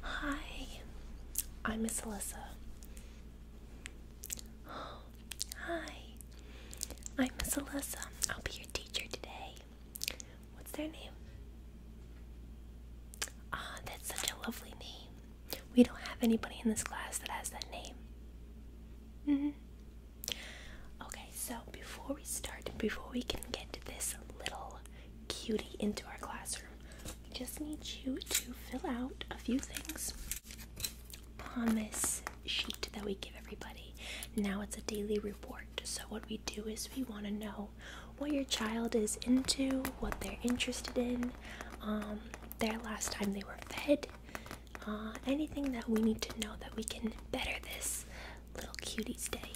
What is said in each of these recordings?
Hi, I'm Miss Alyssa. hi, I'm Miss Alyssa. I'll be your teacher today. What's their name? Ah, that's such a lovely name. We don't have anybody in this class that has that name. Mm hmm so before we start, before we can get this little cutie into our classroom, we just need you to fill out a few things on this sheet that we give everybody. Now it's a daily report. So, what we do is we want to know what your child is into, what they're interested in, um, their last time they were fed, uh, anything that we need to know that we can better this little cutie's day.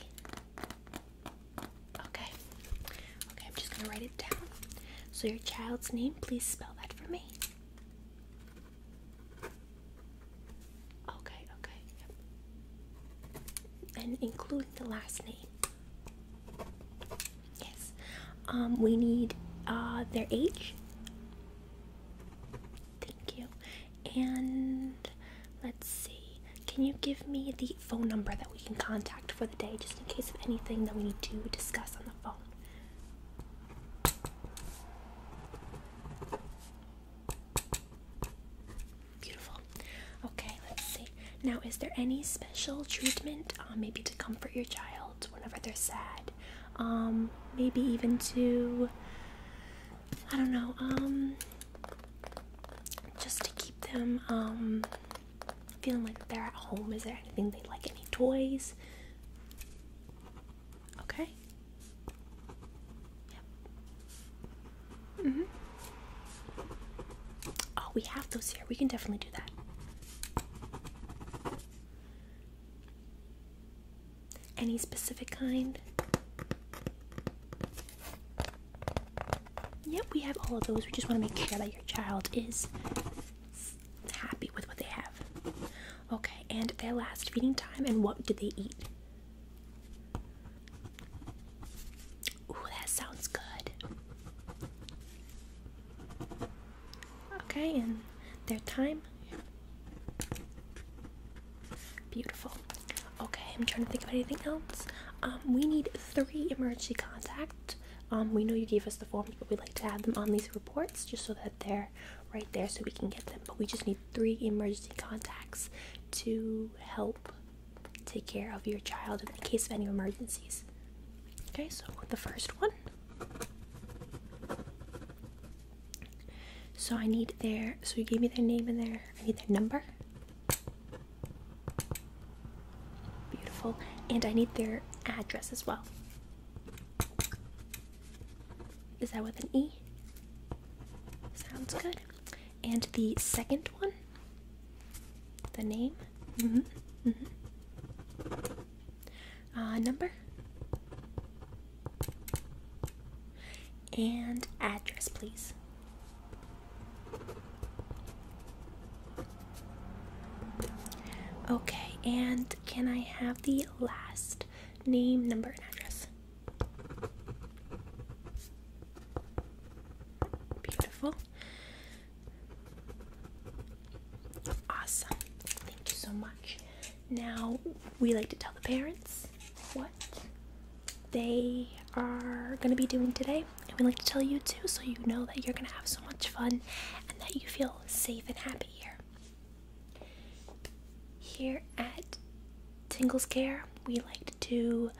Okay. Okay, I'm just gonna write it down. So, your child's name, please spell that for me. Okay, okay. And including the last name. Yes. Um, we need uh, their age. Thank you. And let's see, can you give me the phone number that we can contact for the day just in case of anything that we need to discuss on the phone? Beautiful. Okay, let's see. Now, is there any special treatment, uh, maybe to comfort your child whenever they're sad? Um, maybe even to, I don't know, um, just to keep them um, feeling like they're at home. Is there anything they like? Any toys? Okay. Yep. Mhm. Mm oh, we have those here. We can definitely do that. Any specific kind? Yep, we have all of those. We just want to make sure that your child is happy with what they have. Okay, and their last feeding time and what did they eat? Ooh, that sounds good. Okay, and their time. Beautiful. Okay, I'm trying to think of anything else. Um, we need three emergency contacts. Um, we know you gave us the forms, but we would like to add them on these reports just so that they're right there so we can get them. But we just need three emergency contacts to help take care of your child in the case of any emergencies. Okay, so the first one. So I need their, so you gave me their name and their, I need their number. Beautiful. And I need their address as well. Is that with an E? Sounds good. And the second one? The name? Mm-hmm. Mm-hmm. Uh, number? and address, please. Okay, and can I have the last name, number, and address? Beautiful. Awesome. Thank you so much. Now, we like to tell the parents what they are going to be doing today. And we like to tell you too so you know that you're going to have so much fun and that you feel safe and happy here. Here at Tingles Care, we like to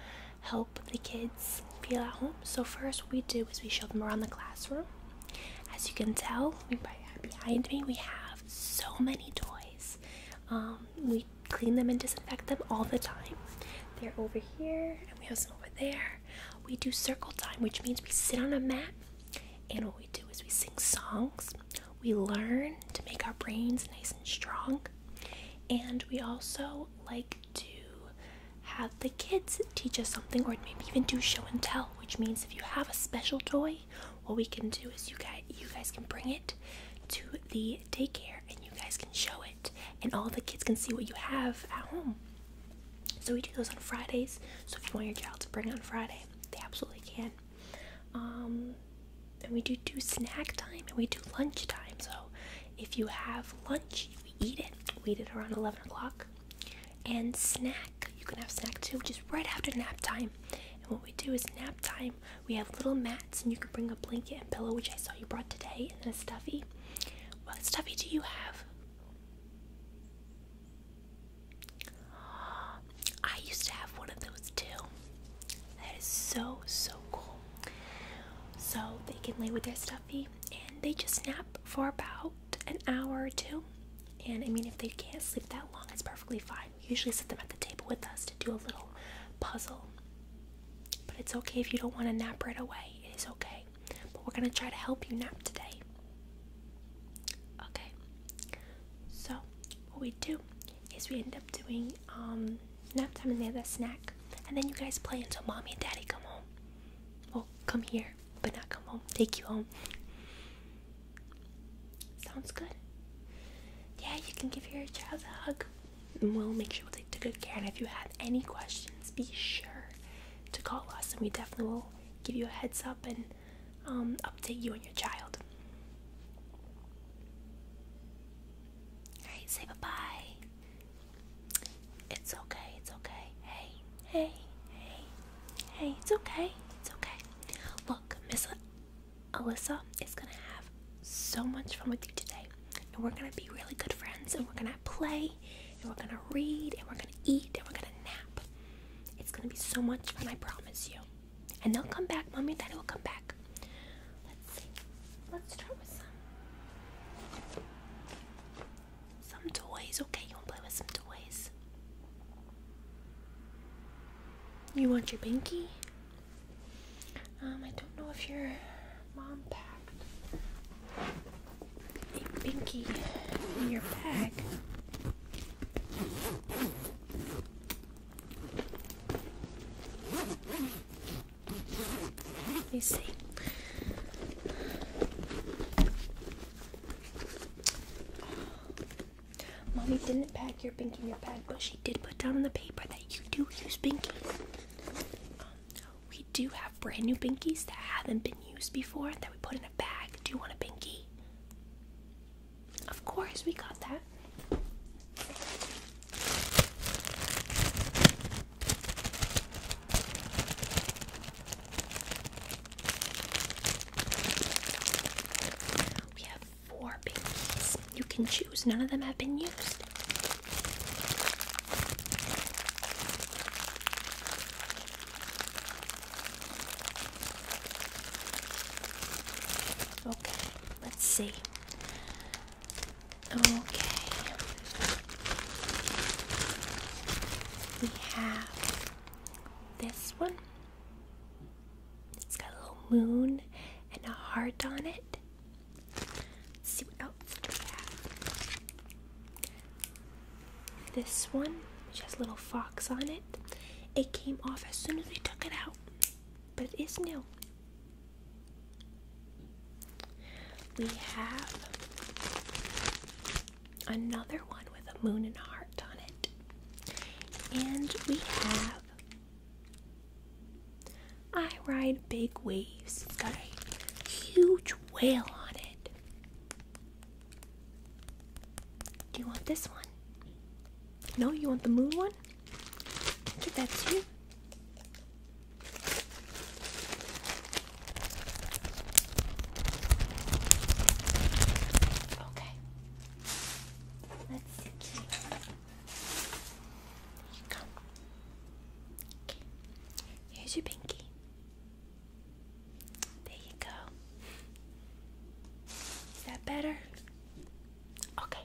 help the kids feel at home. So, first, what we do is we show them around the classroom. As you can tell, behind me, we have so many toys. Um, we clean them and disinfect them all the time. They're over here, and we have some over there. We do circle time, which means we sit on a mat, and what we do is we sing songs. We learn to make our brains nice and strong, and we also like to have the kids teach us something, or maybe even do show and tell. Which means if you have a special toy, what we can do is you guys you guys can bring it to the daycare, and you guys can show it and all the kids can see what you have at home. So we do those on Fridays. So if you want your child to bring on Friday, they absolutely can. Um, and we do do snack time and we do lunch time. So if you have lunch, you eat it. We eat it around 11 o'clock. And snack, you can have snack too, which is right after nap time. And what we do is nap time we have little mats, and you can bring a blanket and pillow, which I saw you brought today, and then a stuffy. What stuffy do you have? I used to have one of those too. That is so, so cool. So they can lay with their stuffy and they just nap for about an hour or two. And I mean, if they can't sleep that long, it's perfectly fine. We usually sit them at the table with us to do a little puzzle but it's okay if you don't want to nap right away. It is okay. But we're going to try to help you nap today. Okay. So, what we do is we end up doing um, nap time and then have that snack. And then you guys play until mommy and daddy come home. Well, come here, but not come home. Take you home. Sounds good. Yeah, you can give your child a hug we'll make sure we take good care. And if you have any questions, be sure to call us, and we definitely will give you a heads up and um, update you and your child. Alright, say bye bye. It's okay, it's okay. Hey, hey, hey, hey, it's okay, it's okay. Look, Miss Alyssa is gonna have so much fun with you today. And we're gonna be really good friends and we're gonna play and we're gonna read and we're gonna eat and we're gonna nap. It's gonna be so much fun, I promise you. And they'll come back, mommy and daddy will come back. Let's see. Let's start with some some toys, okay? You wanna play with some toys? You want your binky? Um, I don't know if your mom packed a binky in your bag. Let me see. Mommy didn't pack your binky in your bag, but she did put down on the paper that you do use binky we do have brand new binkies that haven't been used before that we put in a bag. Do you want a binky? Of course, we got that. We have four binkies. You can choose. None of them have been used. Okay, let's see. Okay. We have this one. It's got a little moon and a heart on it. Let's see what else do we have. This one, which has little fox on it, it came off as soon as we took it out, but it is new. We have another one with a moon and heart on it, and we have I ride big waves. It's got a huge whale on it. Do you want this one? No, you want the moon one? Get that too. Okay. Let's see. Here you go. Here's your pinky. There you go. Is that better? Okay.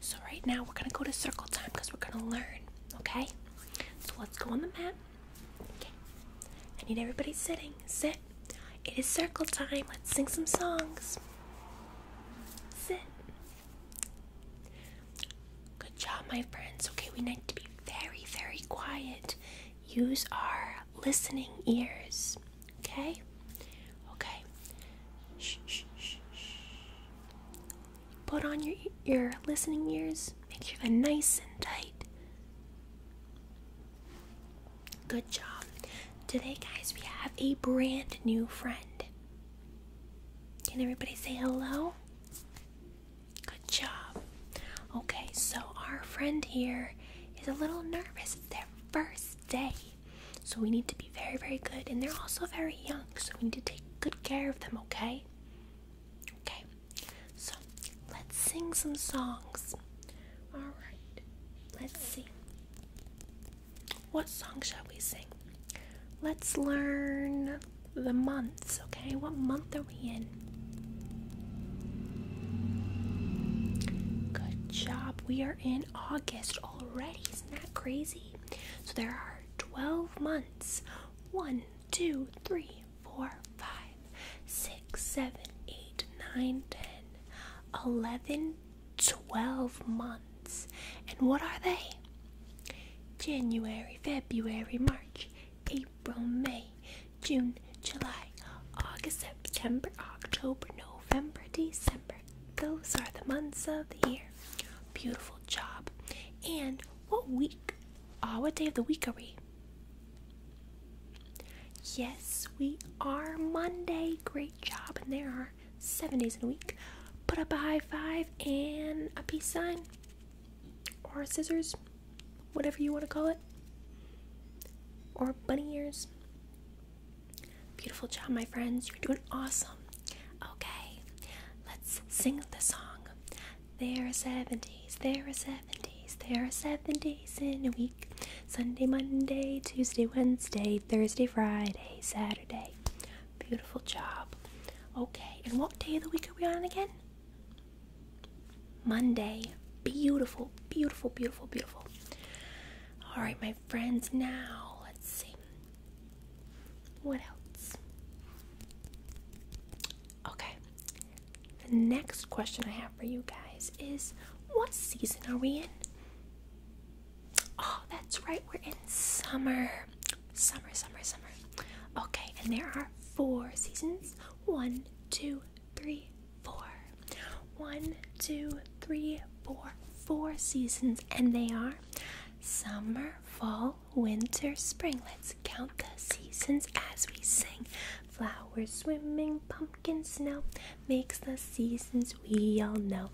So right now we're gonna go to circle time because we're gonna learn. Okay. So let's go on the map. Okay. I need everybody sitting. Sit. It is circle time. Let's sing some songs. Sit. Good job, my friends. Okay, we need to be very, very quiet. Use our listening ears. Okay? Okay. Shh, shh, shh, Put on your, your listening ears. Make sure they're nice and tight. Good job. Today, guys, we have a brand new friend. Can everybody say hello? Good job. Okay, so our friend here is a little nervous. It's their first day. So we need to be very, very good. And they're also very young, so we need to take good care of them, okay? Okay, so let's sing some songs. Alright, let's see. What song shall we sing? Let's learn the months, okay? What month are we in? Good job. We are in August already. Isn't that crazy? So there are 12 months. 1, 2, 3, 4, 5, 6, 7, 8, 9, 10, 11, 12 months. And what are they? January, February, March, April, May, June, July, August, September, October, November, December. Those are the months of the year. Beautiful job. And what week? Ah, what day of the week are we? Yes, we are Monday. Great job. And there are seven days in a week. Put up a high five and a peace sign or scissors, whatever you want to call it, or bunny ears. Beautiful job, my friends. You're doing awesome. Okay, let's sing the song. There are seven days, there are seven days, there are seven days in a week Sunday, Monday, Tuesday, Wednesday, Thursday, Friday, Saturday. Beautiful job. Okay, and what day of the week are we on again? Monday. Beautiful, beautiful, beautiful, beautiful. All right, my friends, now let's see. What else? Okay, the next question I have for you guys is what season are we in? Oh, that's right, we're in summer. Summer, summer, summer. Okay, and there are four seasons. One, two, three, four. One, two, three, four. Four seasons, and they are summer, fall, winter, spring. Let's count the seasons as we sing. Flowers swimming, pumpkin snow makes the seasons we all know.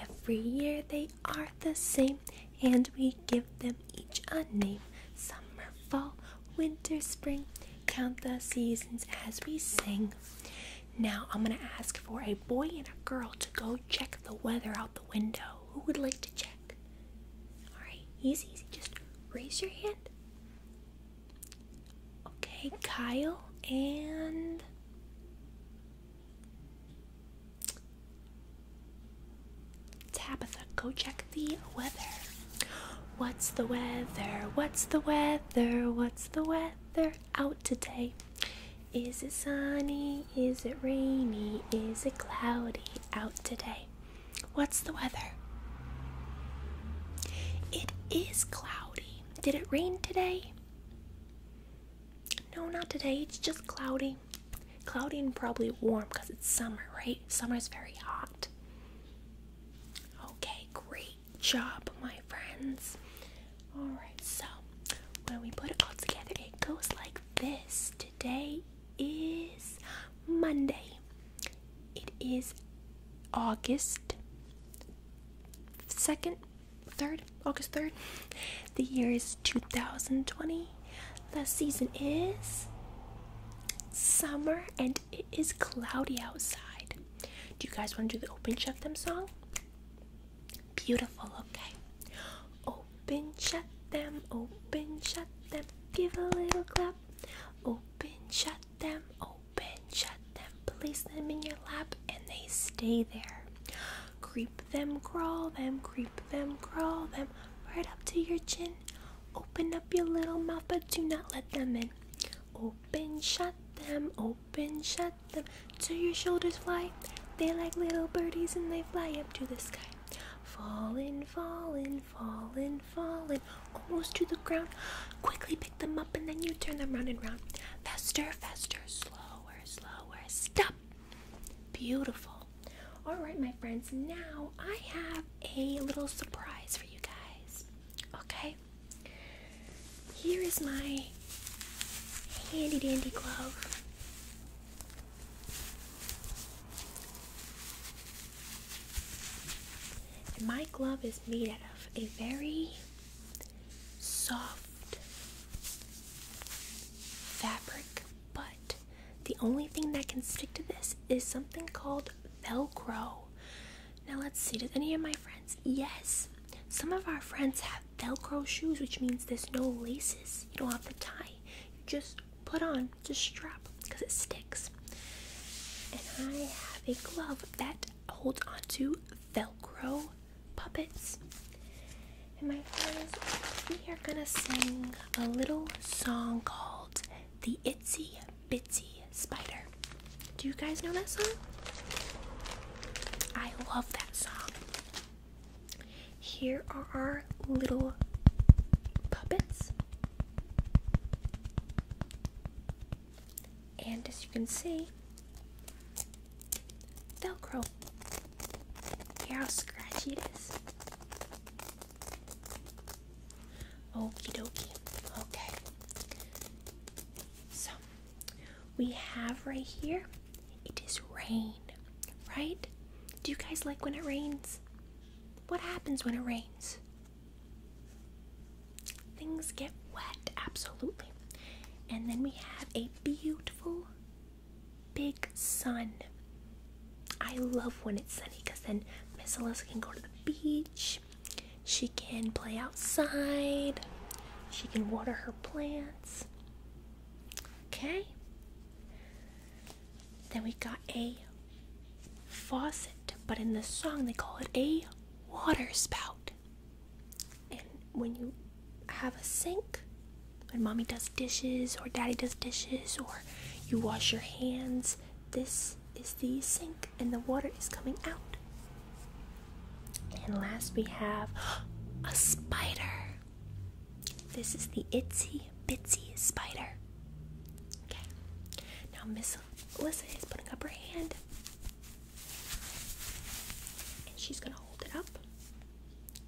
Every year they are the same, and we give them each a name. Summer, fall, winter, spring, count the seasons as we sing. Now I'm gonna ask for a boy and a girl to go check the weather out the window. Who would like to check? Alright, easy, easy. Just raise your hand. Okay, Kyle and Tabitha, go check the weather. What's the weather? What's the weather? What's the weather out today? Is it sunny? Is it rainy? Is it cloudy out today? What's the weather? It is cloudy. Did it rain today? No, not today. It's just cloudy. Cloudy and probably warm because it's summer, right? Summer is very hot. Okay, great job, my friends. Alright, so when we put it all together, it goes like this. Today is Monday. It is August 2nd, 3rd, August 3rd. The year is 2020. The season is summer and it is cloudy outside. Do you guys want to do the open shut them song? Beautiful, okay. Open shut them, open shut them, give a little clap. Open shut them, open shut them, place them in your lap and they stay there. Creep them, crawl them, creep them, crawl them, right up to your chin. Open up your little mouth, but do not let them in. Open, shut them, open, shut them, till your shoulders fly. They like little birdies and they fly up to the sky. Falling, falling, falling, falling, almost to the ground. Quickly pick them up and then you turn them round and round. Faster, faster, slower, slower. Stop! Beautiful. All right, my friends, now I have a little surprise for you guys. Okay? Here is my handy dandy glove. my glove is made out of a very soft fabric, but the only thing that can stick to this is something called Velcro. Now, let's see, does any of my friends? Yes, some of our friends have Velcro shoes, which means there's no laces. You don't have to tie, you just put on, just strap because it sticks. And I have a glove that holds onto Velcro puppets. And my friends, we are gonna sing a little song called The Itsy Bitsy Spider. Do you guys know that song? I love that song. Here are our little puppets. And as you can see, Velcro. Hear how scratchy it is. Okie dokie. Okay. So we have right here it is rain, right? Do you guys like when it rains? What happens when it rains? Things get wet, absolutely. And then we have a beautiful big sun. I love when it's sunny because then Miss Alyssa can go to the beach. She can play outside. She can water her plants. Okay. Then we got a faucet, but in the song they call it a water spout. And when you have a sink, when mommy does dishes or daddy does dishes or you wash your hands, this is the sink and the water is coming out. And last we have a spider. This is the itsy bitsy spider. Okay. Now Miss Alyssa is putting up her hand. And she's gonna hold it up.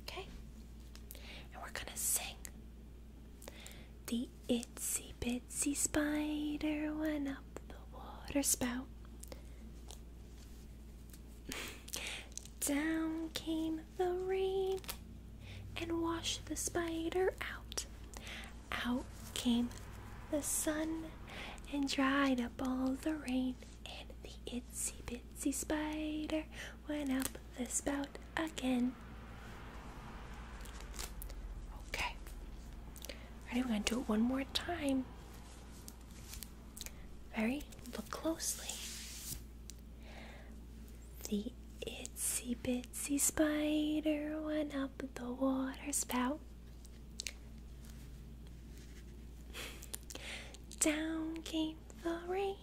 Okay? And we're gonna sing. The itsy bitsy spider went up the water spout. Down came the rain and washed the spider out. Out came the sun and dried up all the rain. And the itsy bitsy spider went up the spout again. Okay. Alright, we're gonna do it one more time. Very look closely. The itsy bitsy spider went up the water spout. Down came the rain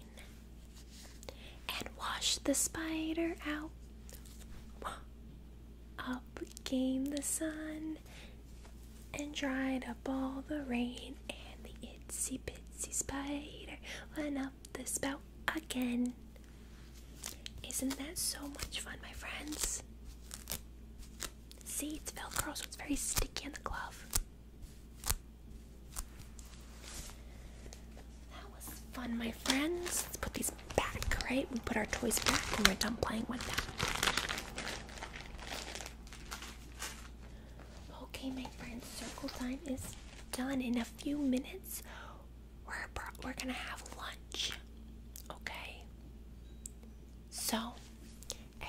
and washed the spider out. Up came the sun and dried up all the rain, and the itsy bitsy spider went up the spout again. Isn't that so much fun, my friends? See, it's Velcro, so it's very sticky on the glove. That was fun, my friends. Let's put these back, right? We put our toys back and we're done playing with them. Okay, my friends, circle time is done. In a few minutes, we're, we're gonna have lunch. Okay? So,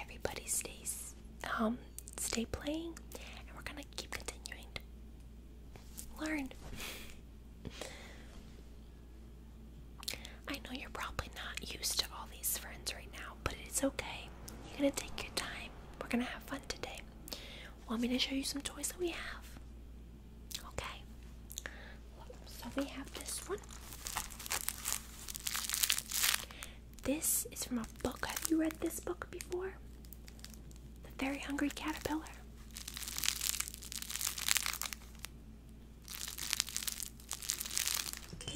everybody stays, um, stay playing, and we're gonna keep continuing Learn. I know you're probably not used to all these friends right now, but it's okay. You're gonna take your time. We're gonna have fun today. Want me to show you some toys that we have? Okay. So we have this one. This is from a book. Have you read this book before? The very hungry caterpillar.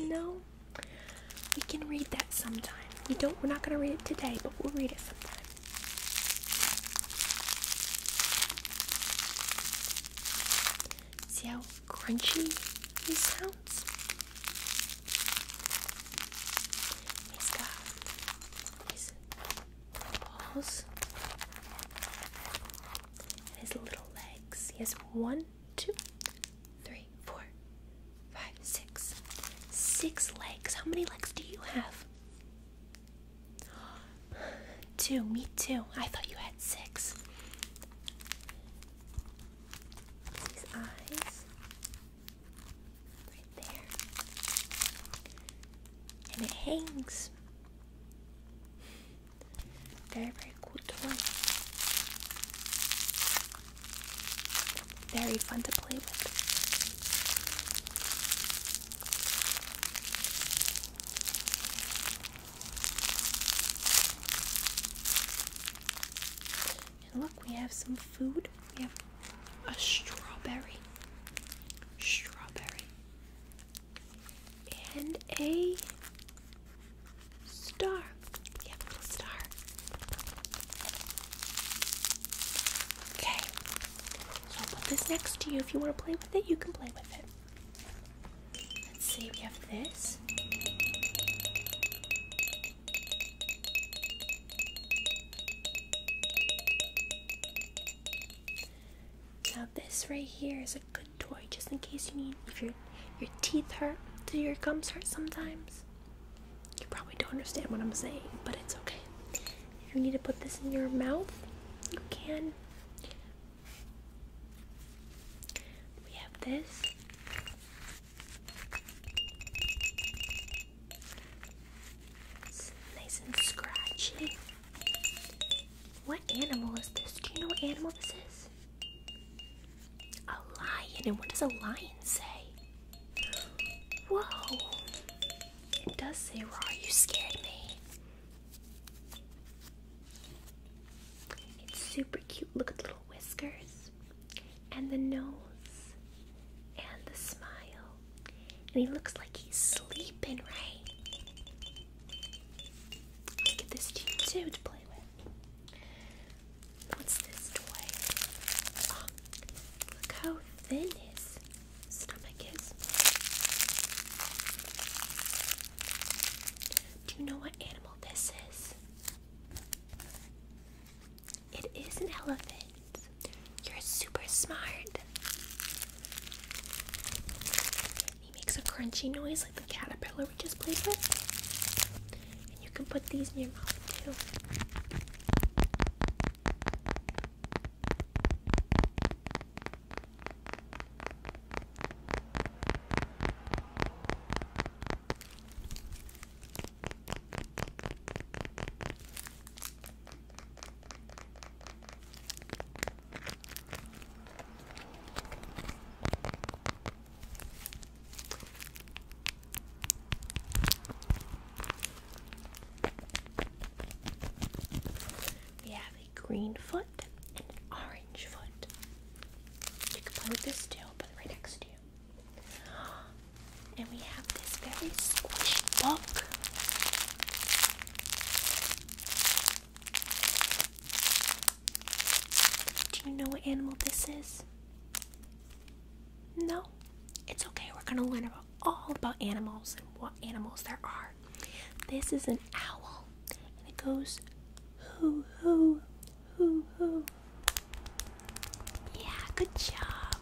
No, we can read that sometime. We don't. We're not gonna read it today, but we'll read it sometime. See how crunchy he sounds? paws his little legs. He has one, two, three, four, five, six, six legs. How many legs do you have? Two, me too. I thought you had six. These eyes there. And it hangs. Very, very cool toy. Very fun to play with. And look, we have some food food. We have a strawberry, strawberry, and a star. We a star. Okay, so I'll put this next to you. If you want to play with it, you can play with it. Let's see, we have this. Now this right here is a good toy just in case you need if your teeth hurt, do your gums hurt sometimes? You probably don't understand what I'm saying, but it's okay. If you need to put this in your mouth, you can. We have this. It's nice and scratchy. What animal is this? Do you know what animal this is? A lion. And what does a lion say? Whoa. It does say raw. You scared me. It's super cute. Look at the little whiskers and the nose and the smile. And he looks like he's sleeping, right? I'll get this to you too to play with. What's this toy? Oh, look how thin his stomach is. Do you know what animal this is? It is an elephant. You're super smart. He makes a crunchy noise like the caterpillar we just played with. And you can put these in your mouth too. We have a green foot and an orange foot. You can play with this too, put right next to you. And we this very squishy book. Do you know what animal this is? No? It's okay, we're gonna learn about all about animals and what animals there are. This is an owl, and it goes hoo hoo hoo hoo. Yeah, good job.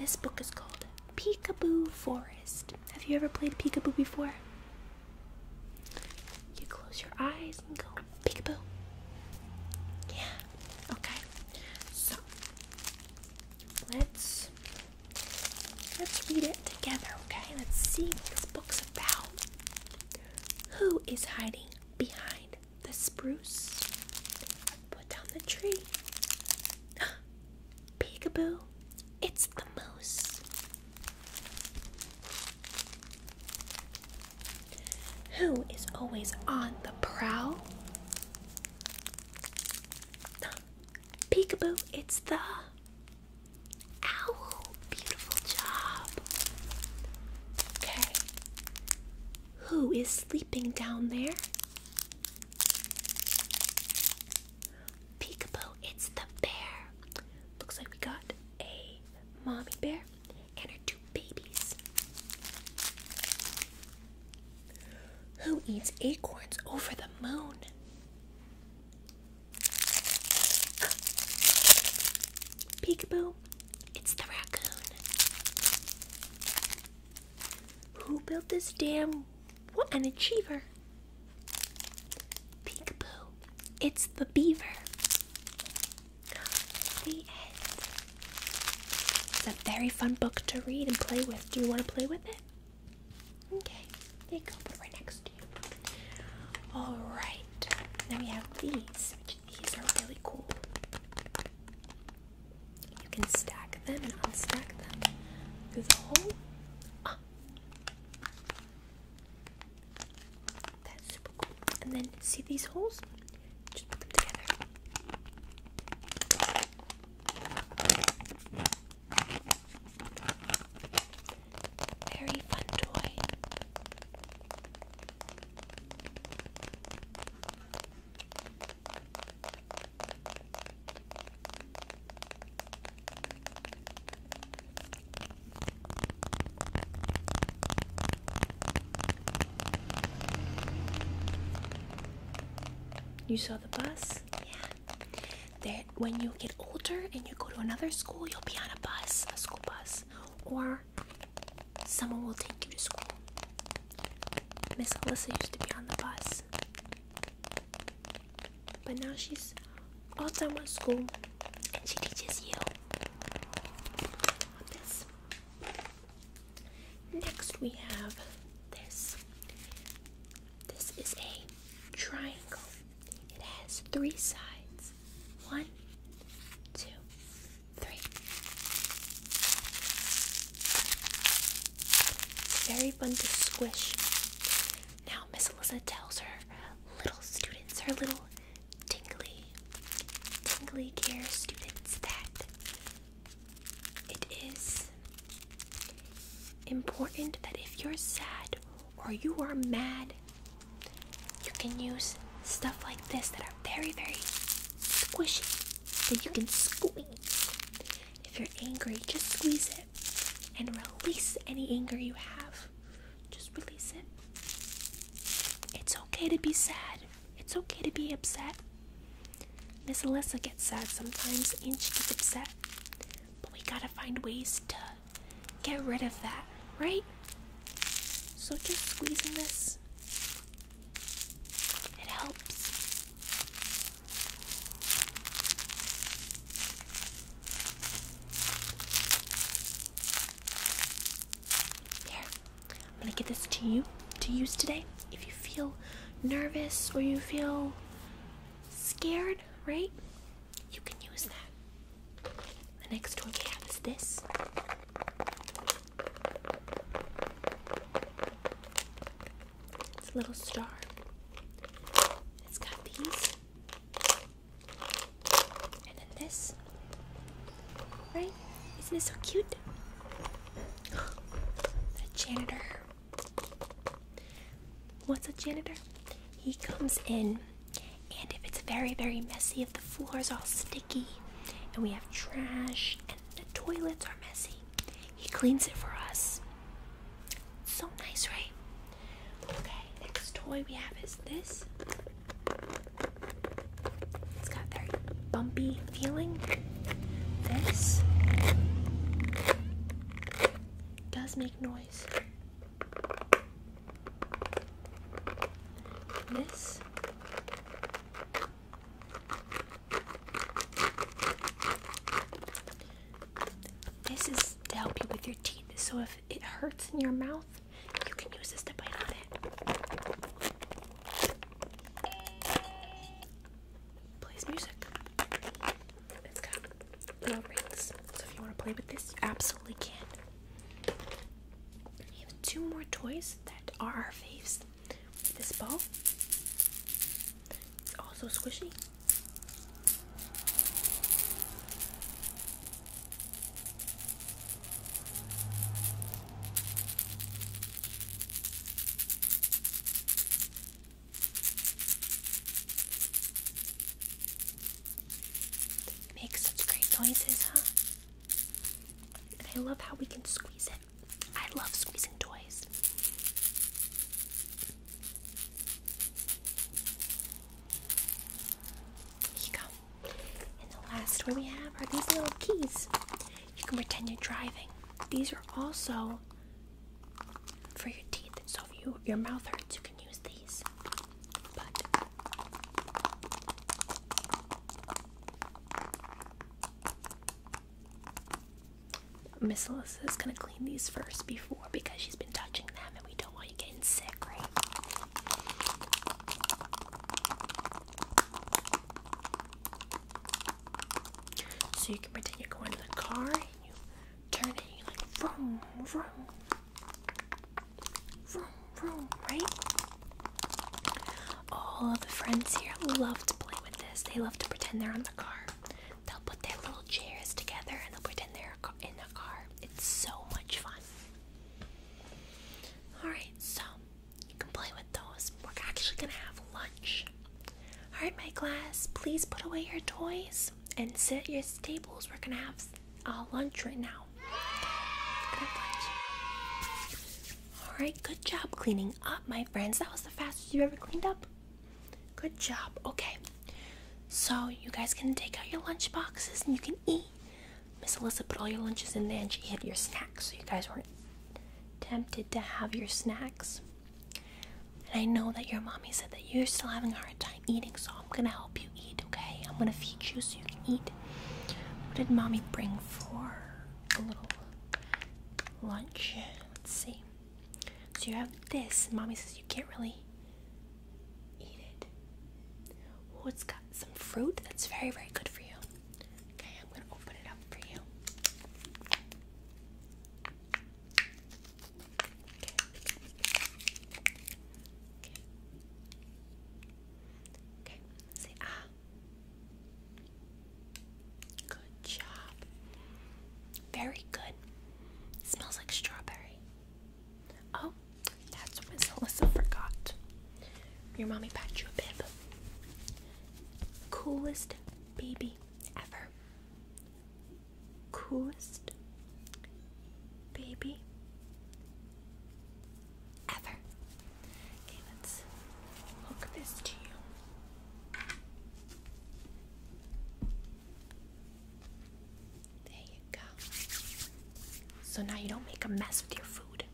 This book is called Peekaboo Forest. Have you ever played peekaboo before? You close your eyes and go peekaboo. Yeah. Okay. So let's let's read it together, okay? Let's see what this book's about. Who is hiding behind the spruce? Put down the tree. Peekaboo, it's the moose. Who is always on the prowl? Peekaboo, it's the owl. Beautiful job. Okay. Who is sleeping down there? Peekaboo, it's the bear. Looks like we got a mommy bear and her two babies. Who eats acorns over the moon? Peekaboo, it's the raccoon. Who built this dam? What an achiever! Peekaboo, it's the beaver. It's a very fun book to read and play with. Do you want to play with it? Okay, they go. right next to you. All right. Now we have these. These are really cool. You can stack them and unstack them through the hole. Ah. That's super cool. And then see these holes? Just put them together. Very fun toy. You saw the bus? Yeah. when you get older and you go to another school, you'll be on a bus, a school bus, or someone will take you to school. Miss Alyssa used to be on the bus. But now she's all done with school and she teaches you this. Next we have this. This is a triangle. It has three sides. One, two, three. It's very fun to squish. Now, Miss Alyssa tells her little students, her little tingly, tingly care students, that it is important that if you're sad or you are mad, you can use stuff like this that are very, very squishy that you can squeeze. If you're angry, just squeeze it and release any anger you have. Just release it. It's okay to be sad. It's okay to be upset. Miss Alyssa gets sad sometimes Inch gets upset. But we gotta find ways to get rid of that, right? So just squeezing this, it helps. Here, I'm gonna give this to you to use today. If you feel nervous or you feel scared, right? You can use that. The next one we have is this. It's a little star. It's got these. And then this. Right? Isn't it so cute? a janitor. What's a janitor? He comes in, and if it's very, very messy, if the floor is all sticky, and we have trash, and the toilets are messy, he cleans it for us so nice, right? Okay, next toy we have is this. It's got very bumpy feeling. This does make noise. This this is to help you with your teeth. So if it hurts in your mouth, you can use this to bite on it. Plays music. It's got little rings. So if you want to play with this, you absolutely can. We have two more toys that are our faves. This ball it's also squishy. Makes such great noises, huh? And I love how we can squeeze it. I love squeezing toys. Here you go. And the last one we have are these little keys. You can pretend you're driving. These are also for your teeth. So if you, your mouth hurts, you can use these. Miss is gonna clean these first before because she's been touching them and we don't want you getting sick, right? So you can pretend you're going to the car and you turn it and you're like vroom vroom vroom vroom, right? All of the friends here love to play with this. They love to pretend they're on the car. They'll put their little chairs together and they'll pretend they're in a car. It's so much fun. Alright, so you can play with those. We're actually gonna have lunch. Alright, my class, please put away your toys and sit your tables. We're gonna have uh, lunch right now. Alright, good job cleaning up, my friends. That was the fastest you ever cleaned up. Good job. Okay. So you guys can take out your lunch boxes and you can eat. Miss Alyssa put all your lunches in there and she hid your snacks so you guys weren't tempted to have your snacks. And I know that your mommy said that you're still having a hard time eating, so I'm gonna help you eat, okay? I'm gonna feed you so you can eat. What did mommy bring for a little lunch? Let's see. So you have this, and mommy says you can't really eat it. Well, it's got some fruit that's very, very good for you. Okay, I'm gonna open it up for you. Okay. Okay. Okay. Say ah. Good job very good. smells like strawberry. Oh, that's what Melissa forgot. Your mommy packed you a bib. Coolest baby ever. Coolest baby ever. let's hook this to you. There you go. So now you don't make a mess with your food.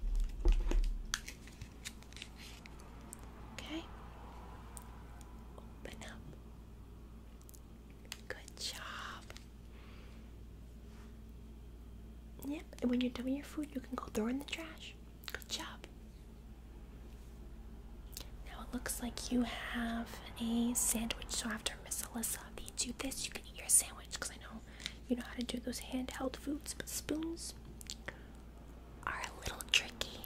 Okay? Open up. Good job. Yep, and when you're done with your food, you can go throw in the trash. Good job. Now it looks like you have a sandwich. So after Miss Alyssa feeds you this, you can eat your sandwich because I know you know how to do those handheld foods, but spoons are a little tricky.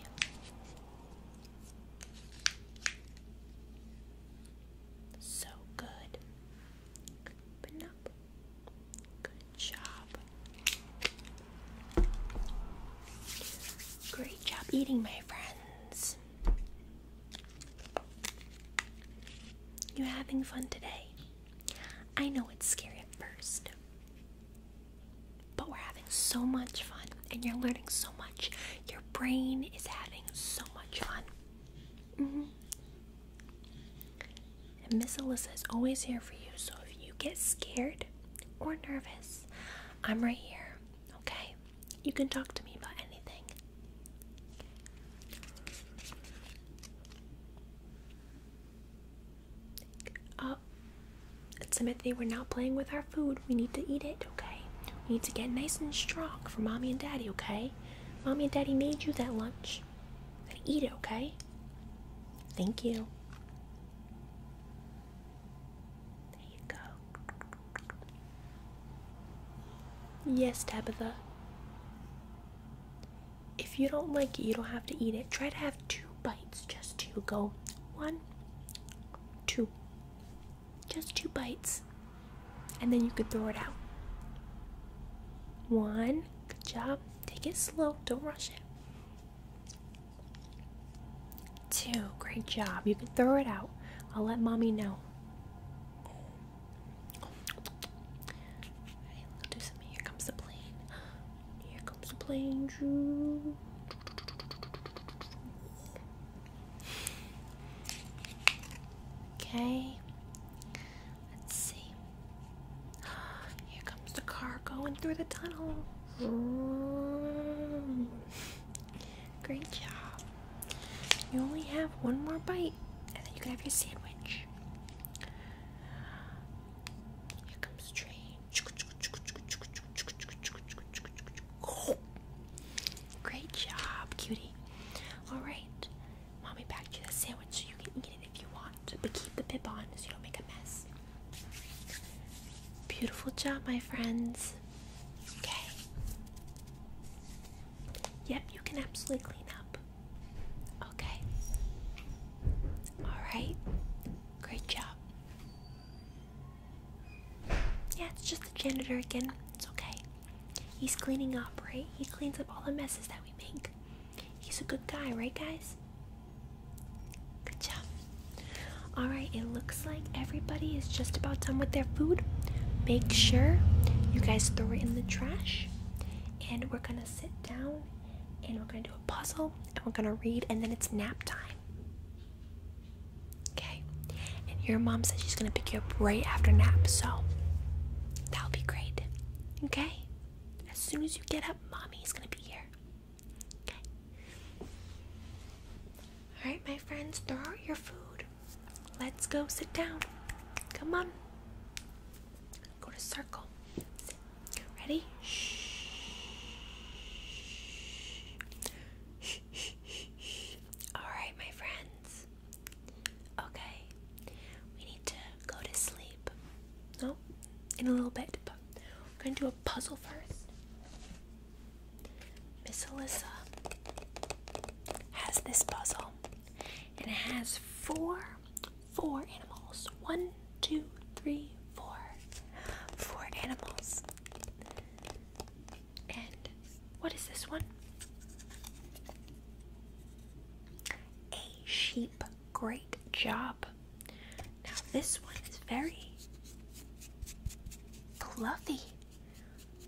So good. Open up. Good job. Great job eating, my friends. You're having fun today. I know it's scary at first, but we're having so much fun and you're learning so much. Your brain is having so much fun. Mm-hmm. And Miss Alyssa is always here for you, so if you get scared or nervous, I'm right here, okay? You can talk to me about anything. Oh, Timothy, we're not playing with our food. We need to eat it, okay? We need to get nice and strong for mommy and daddy, okay? Mommy and daddy made you that lunch. Now eat it, okay? Thank you. Yes, Tabitha. If you don't like it, you don't have to eat it. Try to have two bites, just two. Go one, two. Just two bites. And then you could throw it out. One. Good job. Take it slow. Don't rush it two. Great job. You can throw it out. I'll let mommy know. Alright, we do something. Here comes the plane. Here comes the plane, Drew. Okay. Let's see. Here comes the car going through the tunnel. Great job. You only have one more bite, and then you can have your sandwich. Here comes the train. Great job, cutie. Alright, mommy packed you the sandwich so you can eat it if you want, but keep the bib on so you don't make a mess. Beautiful job, my friends. Okay. Yep, you can absolutely clean up. Okay. Alright. Great job. Yeah, it's just the janitor again. It's okay. He's cleaning up, right? He cleans up all the messes that we make. He's a good guy, right, guys? Good job. Alright, it looks looks like everybody is just about done with their food. Make sure you guys throw it in the trash. And we're gonna sit down and we're gonna do a puzzle and we're gonna read and then it's nap time. Okay. And your mom says she's gonna pick you up right after nap, so that'll be great. Okay? As soon as you get up, mommy's gonna be here. Okay. Alright, my friends, throw out your food. Let's go sit down. Come on. Go to circle. Sit. Ready? Shh. All right, my friends. Okay. We need to go to sleep. No, in a little bit, we're going to do a puzzle first. Miss Alyssa has this puzzle and it has four four animals. One, two, three, four, four animals. And what is this one? A sheep. Great job. Now this one is very fluffy.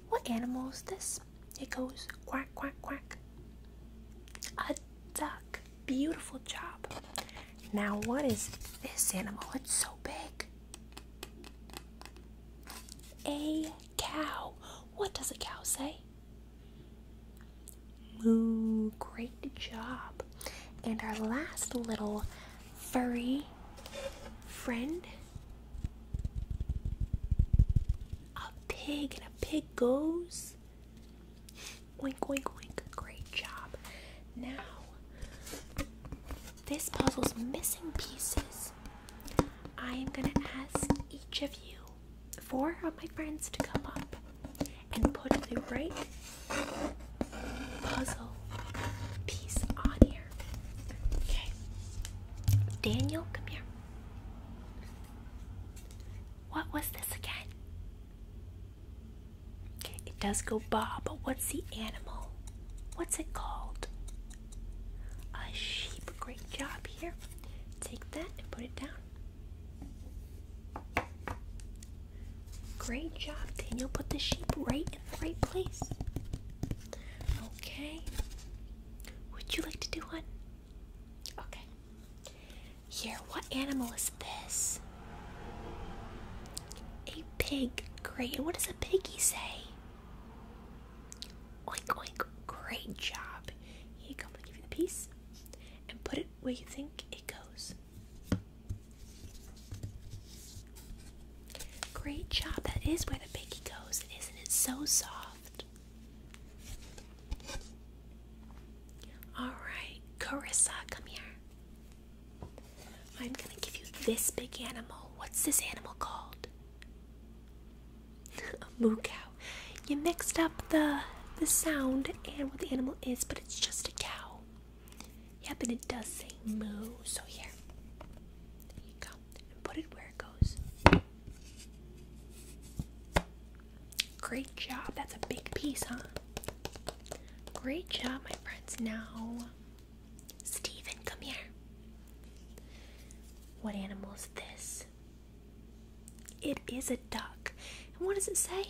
What animal is this? It goes quack, quack, quack. A duck. Beautiful job. Now, what is this animal? It's so big. A cow. What does a cow say? Moo. Great job. And our last little furry friend? A pig and a pig goes. Wink, wink, wink. Great job. Now, this puzzle's missing pieces. I am going to ask each of you, four of my friends, to come up and put the right puzzle piece on here. Daniel, come here. What was this again? it does go ba, but what's the animal? What's it called? A sheep. Great job here. Take that and put it down. Great job, Daniel. Put the sheep right in the right place. Okay. Would you like to do one? Okay. Here, what animal is this? A pig. Great. And what does a piggy say? Oink, oink. Great job. Here you go. i give me the piece and put it where you think it goes. Great job. That is where the piggy goes. Isn't it so soft? Alright, Carissa, come here. I'm gonna give you this big animal. What's this animal called? a moo cow. You mixed up the the sound and what the animal is, but it's just a cow. Yep, and it does say moo. So here, there you go and put it where it goes. Great job. That's a big piece, huh? Great job, my friends. Now, Steven, come here. What animal is this? It is a duck. And what does it say?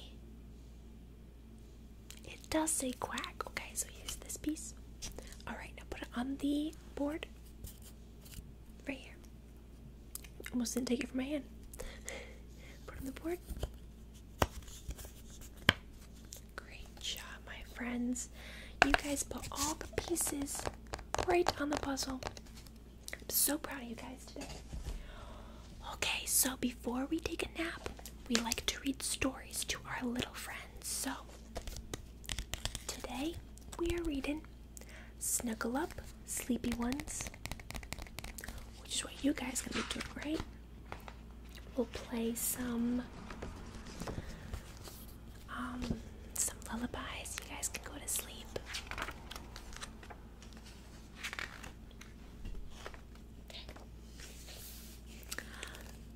It does say quack. Okay, so here's this piece. Alright, now put it on the board. Right here. Almost didn't take it from my hand. Put on the board. Great job, my friends. You guys put all the pieces right on the puzzle. I'm so proud of you guys today. Okay, so before we take a nap, we like to read stories to our little friends. So Today we are reading Snuggle Up, Sleepy Ones, which is what you guys can be doing, right? We'll play some um some lullabies. You guys can go to sleep.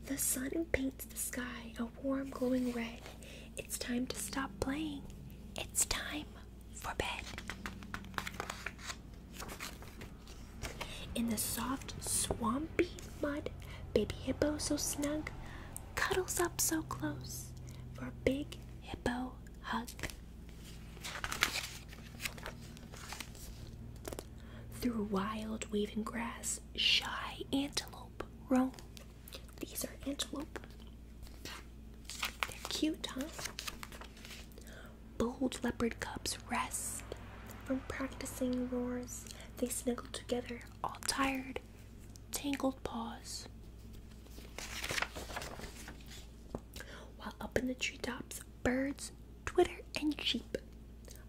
The sun paints the sky a warm glowing red. It's time to stop playing. It's time for bed. In the soft, swampy mud, baby hippo so snug cuddles up so close for a big hippo hug. Through wild waving grass, shy antelope roam. These are antelope. They're cute, huh? Bold leopard cubs rest from practicing roars. They snuggle together, all tired, tangled paws. While up in the treetops, birds twitter and cheep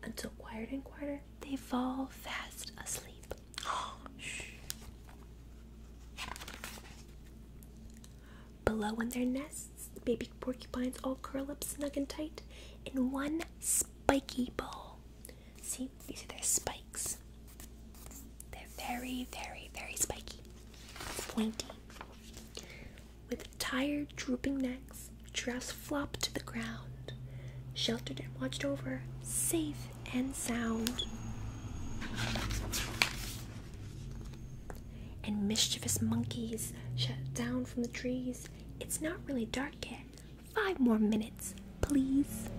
until quieter and quieter they fall fast asleep. Below in their nests, baby porcupines all curl up snug and tight in one spiky ball. See, these are their spikes. They're very, very, very spiky, pointy. With tired, drooping necks, giraffes flop to the ground, sheltered and watched over, safe and sound. And mischievous monkeys shut down from the trees. It's not really dark yet. Five more minutes, please.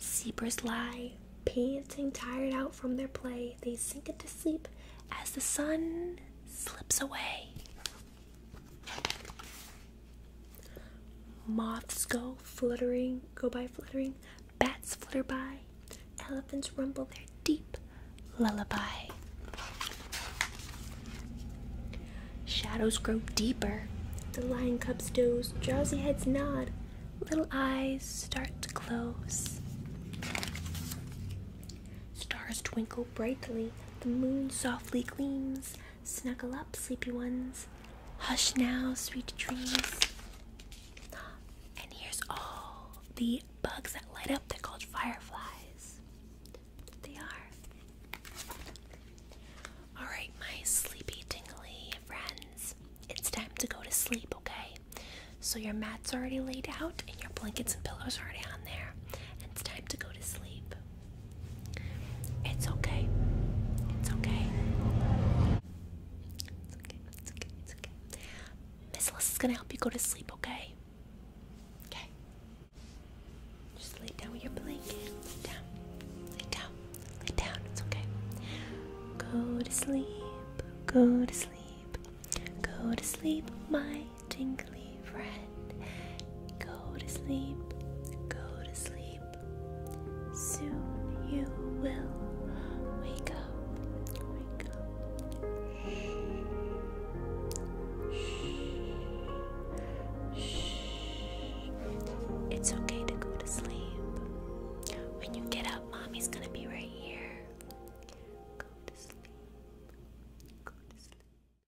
Zebras lie, panting, tired out from their play. They sink into sleep as the sun slips away. Moths go fluttering, go by fluttering. Bats flutter by. Elephants rumble their deep lullaby. Shadows grow deeper. The lion cubs doze, drowsy heads nod, little eyes start to close. Stars twinkle brightly, the moon softly gleams. Snuggle up, sleepy ones. Hush now, sweet dreams. And here's all the bugs that light up. They're called fireflies. They are. Alright, my sleepy, tingly friends. It's time to go to sleep, okay? So your mat's already laid out and your blankets and pillows are already on there. And it's time to go to sleep. It's okay. It's okay. It's okay. It's okay. It's okay. Miss Liz is gonna help you go to sleep, okay? Okay. Just lay down with your blanket. Lay down. Lay down. Lay down. It's okay. Go to sleep. Go to sleep. Go to sleep, my tingly friend. Go to sleep, go to sleep. Soon you will wake up, It's okay to go to sleep. When you get up, mommy's gonna be right here. Go to sleep. Go to sleep.